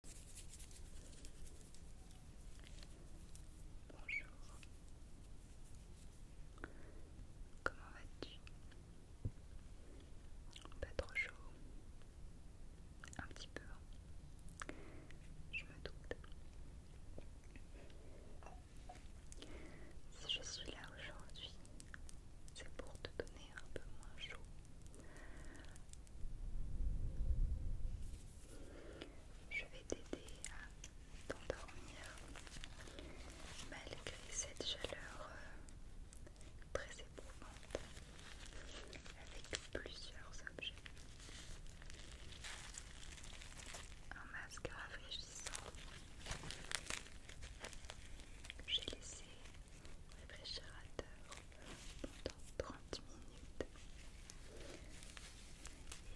Bonjour. Comment vas-tu Pas trop chaud. Un petit peu. Hein. Je me doute. Si je suis là aujourd'hui, c'est pour te donner un peu moins chaud je vais t'aider à t'endormir malgré cette chaleur euh, très éprouvante avec plusieurs objets. Un masque rafraîchissant que j'ai laissé réfrigérateur pendant 30 minutes.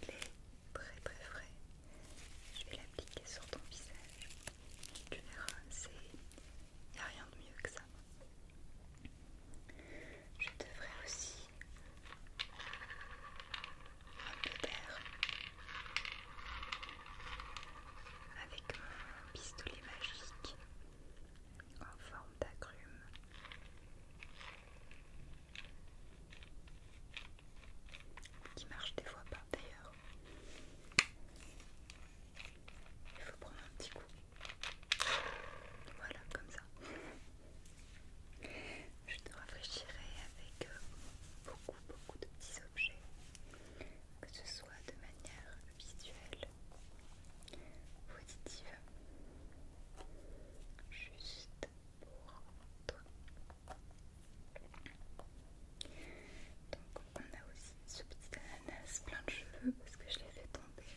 Il est très très frais. Je vais l'appliquer sur ton visage. Tu verras, il n'y a rien de mieux que ça. Je devrais aussi un peu d'air avec mon pistolet magique en forme d'agrumes. Qui marche des fois pas d'ailleurs. Il faut prendre un petit coup. Voilà, comme ça. Je te rafraîchirai avec euh, beaucoup, beaucoup de petits objets, que ce soit de manière visuelle positive juste pour toi. Donc on a aussi ce petit ananas plein de cheveux parce que je l'ai fait tomber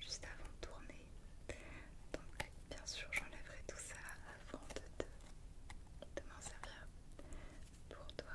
juste avant de tourner. Donc bien sûr j'enlèverai tout ça avant de, de m'en servir pour toi.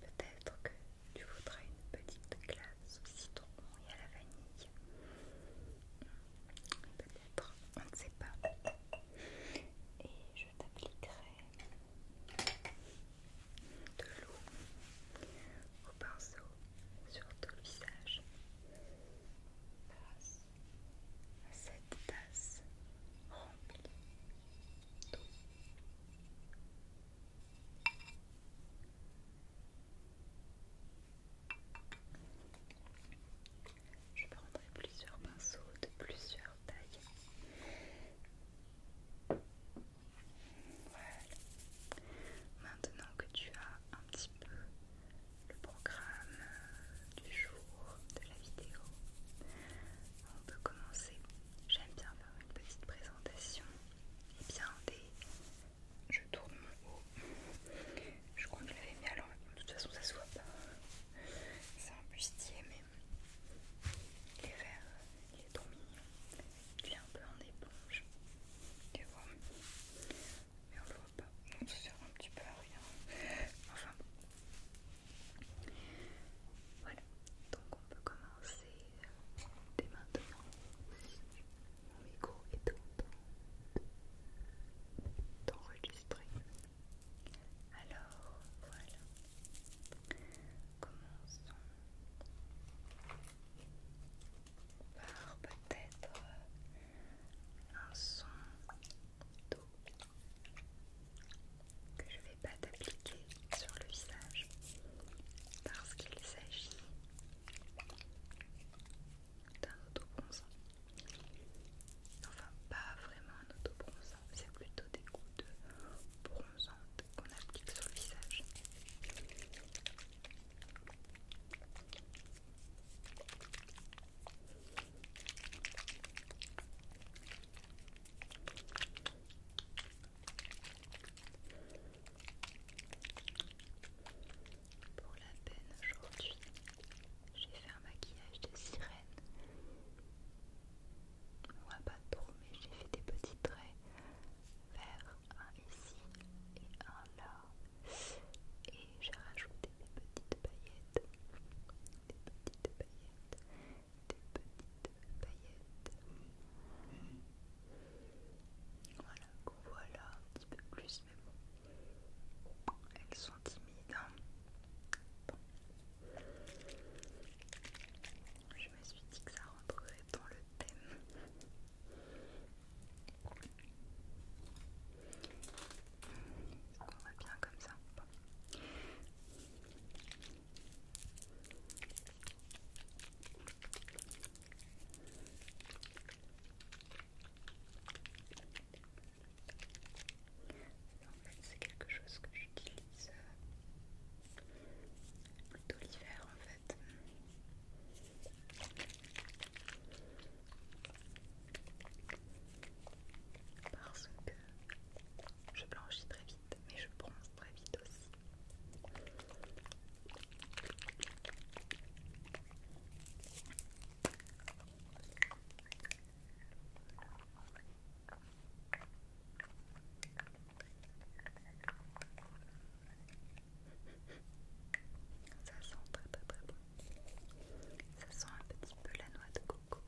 Peut-être que tu voudrais une petite glace aussi. citron et à la vanille. Peut-être, on ne sait pas. Et je t'appliquerai de l'eau au pinceau sur tout le visage. à cette tasse remplie d'eau. Je prendrai plusieurs pinceaux de plusieurs tailles. Voilà. Maintenant que tu as un petit peu le programme euh, du jour de la vidéo, on peut commencer. J'aime bien faire une petite présentation. Et eh bien, des... je tourne mon haut. Je crois que je l'avais mis alors De toute façon, ça se voit pas. C'est un bustier, mais il est vert, il est trop mignon. Il est un peu en éponge. Mais on le voit pas. On se sert un petit peu à rien. Enfin, voilà. Donc, on peut commencer dès maintenant, mon micro est en train d'enregistrer. Alors voilà, commençons par peut-être un son que je vais pas t'appliquer sur le visage parce qu'il s'agit d'un autobronzant. Enfin, pas vraiment un autobronzant, c'est plutôt des gouttes bronzantes qu'on applique sur le visage. Pour la peine aujourd'hui, j'ai fait un maquillage de sirène. Ouais, pas trop, mais j'ai fait des petits traits vers un ici et un là. Et j'ai rajouté des petites paillettes. Des petites paillettes. Des petites paillettes. Voilà, qu'on voit là un petit peu plus, mais bon, elles sont timides. Je me suis dit que ça rentrerait dans le thème. On va bien comme ça. C'est quelque chose que j'utilise plutôt euh, l'hiver en fait. Parce que je blanchis très vite mais je pense très vite aussi. Ça sent très très très bon. Ça sent un petit peu la noix de coco.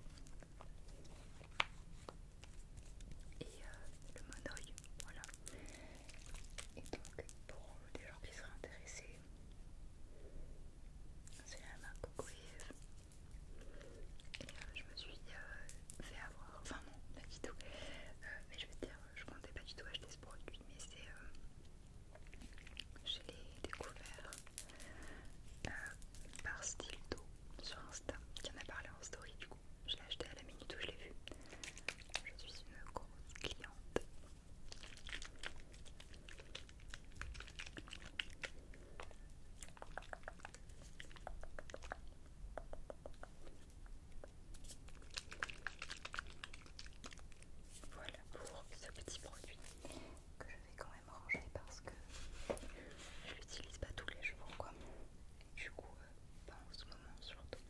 Euh, et le monoï, voilà. Et donc pour des gens qui seraient intéressés, c'est la marque Et euh, je me suis euh, fait avoir, enfin non, pas du tout. mais je vais te dire, je ne comptais pas du tout acheter ce produit, mais c'est... je l'ai découvert par style d'eau sur Insta, qui en a parlé en story du coup. Je l'ai acheté à la minute où je l'ai vu. Je suis une grosse cliente. Voilà pour ce petit produit que je vais quand même parce que je l'utilise pas tous les jours quoi. du coup, euh, pas en ce moment surtout.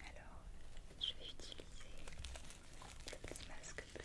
Alors, je vais utiliser le petit masque bleu.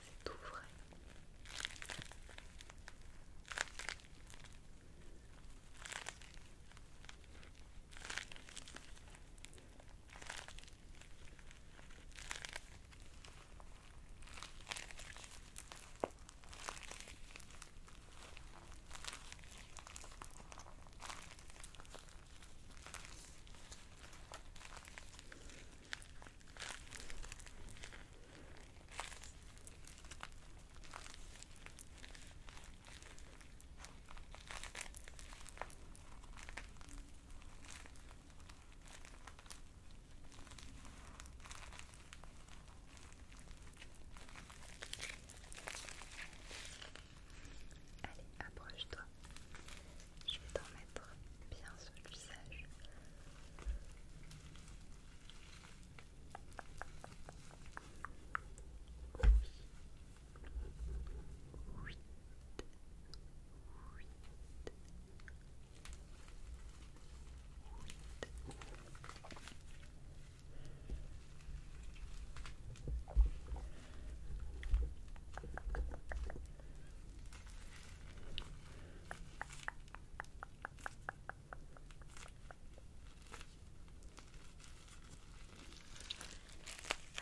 c'est tout vrai. Allez, approche-toi. Je vais t'en mettre bien sur visage.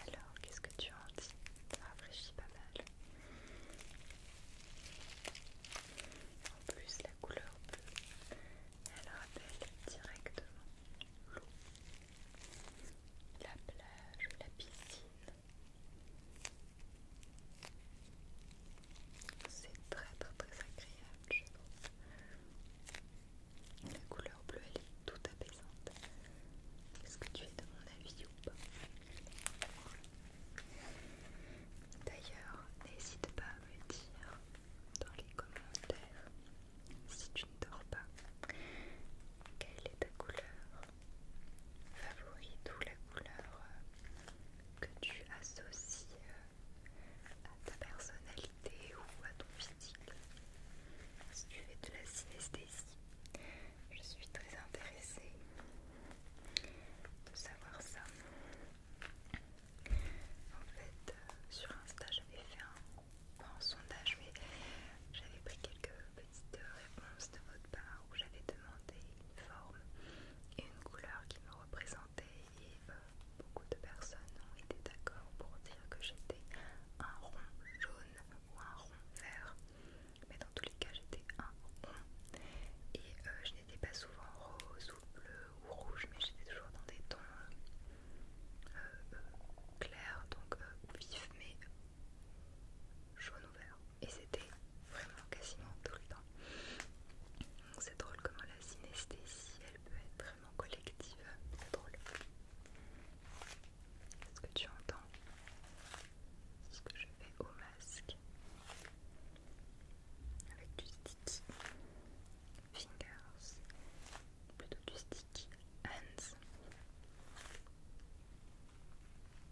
Alors, qu'est-ce que tu en dis Ça rafraîchit pas mal. En plus, la couleur bleue, elle rappelle directement l'eau, la plage, la piscine. C'est très très très agréable je trouve. La couleur bleue elle est tout apaisante. Est-ce que tu es de mon avis ou pas D'ailleurs, n'hésite pas à me dire dans les commentaires si tu ne dors pas quelle est ta couleur favoris ou la couleur euh, que tu associes euh, à ta personnalité ou à ton physique. Si tu fais de la synesthésie, je suis très intéressée de savoir ça. En fait, euh, sur Insta, j'avais fait un, un sondage, mais j'avais pris quelques petite réponse de votre part où j'avais demandé une forme et une couleur qui me représentait et euh, beaucoup de personnes ont été d'accord pour dire que j'étais un rond jaune ou un rond vert mais dans tous les cas j'étais un rond et euh, je n'étais pas souvent rose ou bleu ou rouge mais j'étais toujours dans des tons euh, clairs donc vifs mais jaune ouvert. Et c'était vraiment quasiment tout le temps. Donc c'est drôle comment la synesthésie, elle peut être vraiment collective. C'est drôle. Est-ce que tu entends ce que je fais au masque avec du stick fingers, plutôt du stick hands.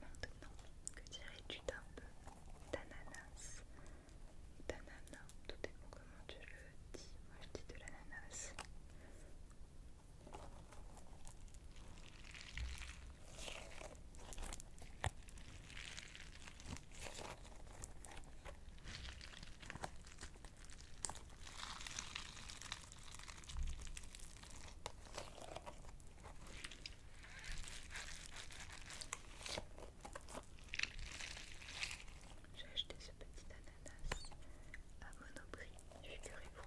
Maintenant, que dirais-tu d'un peu d'ananas D'ananas, tout bon, comment tu le dis. Moi je dis de l'ananas. J'ai acheté ce petit ananas à Monoprix, figurez-vous.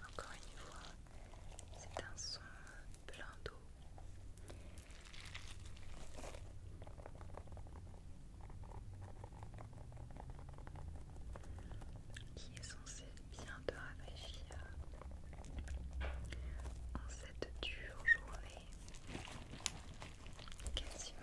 Encore une fois, c'est un son plein d'eau. Qui est censé bien te rafraîchir en cette dure journée quasiment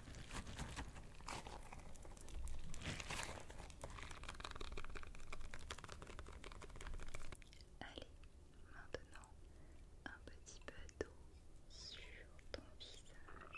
Allez, maintenant un petit peu d'eau sur ton visage.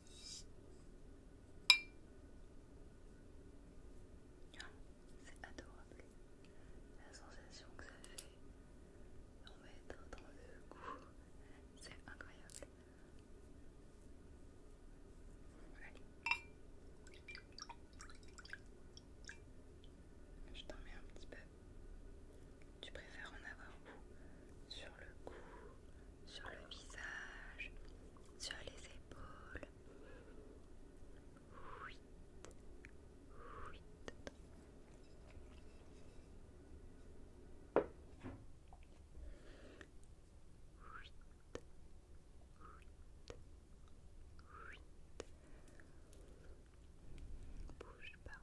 C'est adorable la sensation que ça fait en mettre dans le cou, c'est incroyable. Je t'en mets un petit peu. Tu préfères en avoir sur le cou sur le visage sur les épaules bouge pas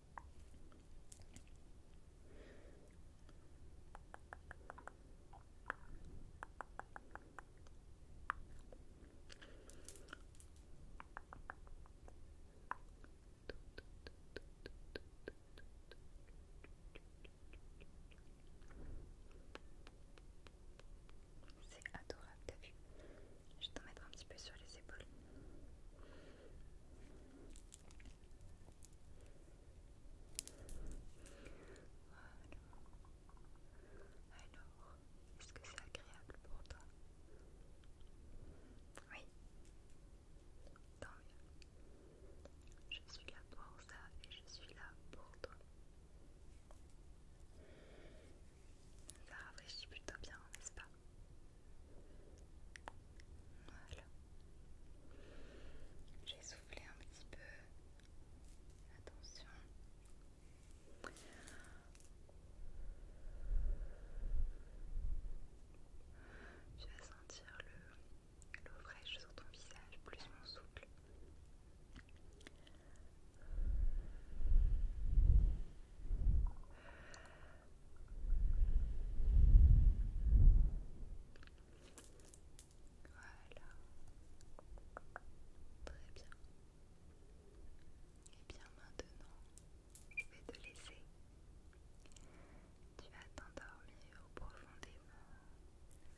C'est adorable, t'as vu Je vais t'en mettre un petit peu sur les épaules. Alors, est-ce que c'est agréable pour toi Oui. Tant mieux. Je suis là pour ça et je suis là pour toi. Ça rafraîchit plutôt bien, n'est-ce pas voilà. J'ai soufflé un petit peu. Attention. Tu vas sentir l'eau fraîche sur ton visage, plus mon souffle. Voilà. Très bien. Et eh bien maintenant, je vais te laisser. Tu vas t'endormir profondément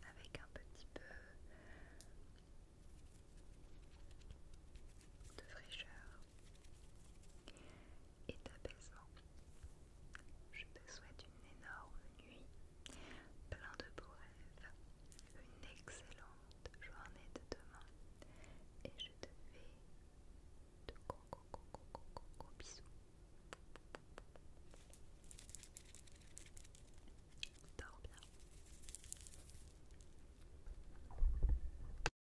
avec un petit peu de fraîcheur et d'apaisement. Je te souhaite une énorme nuit, plein de beaux rêves, une excellente journée de demain et je te fais de gros bisous. Dors bien.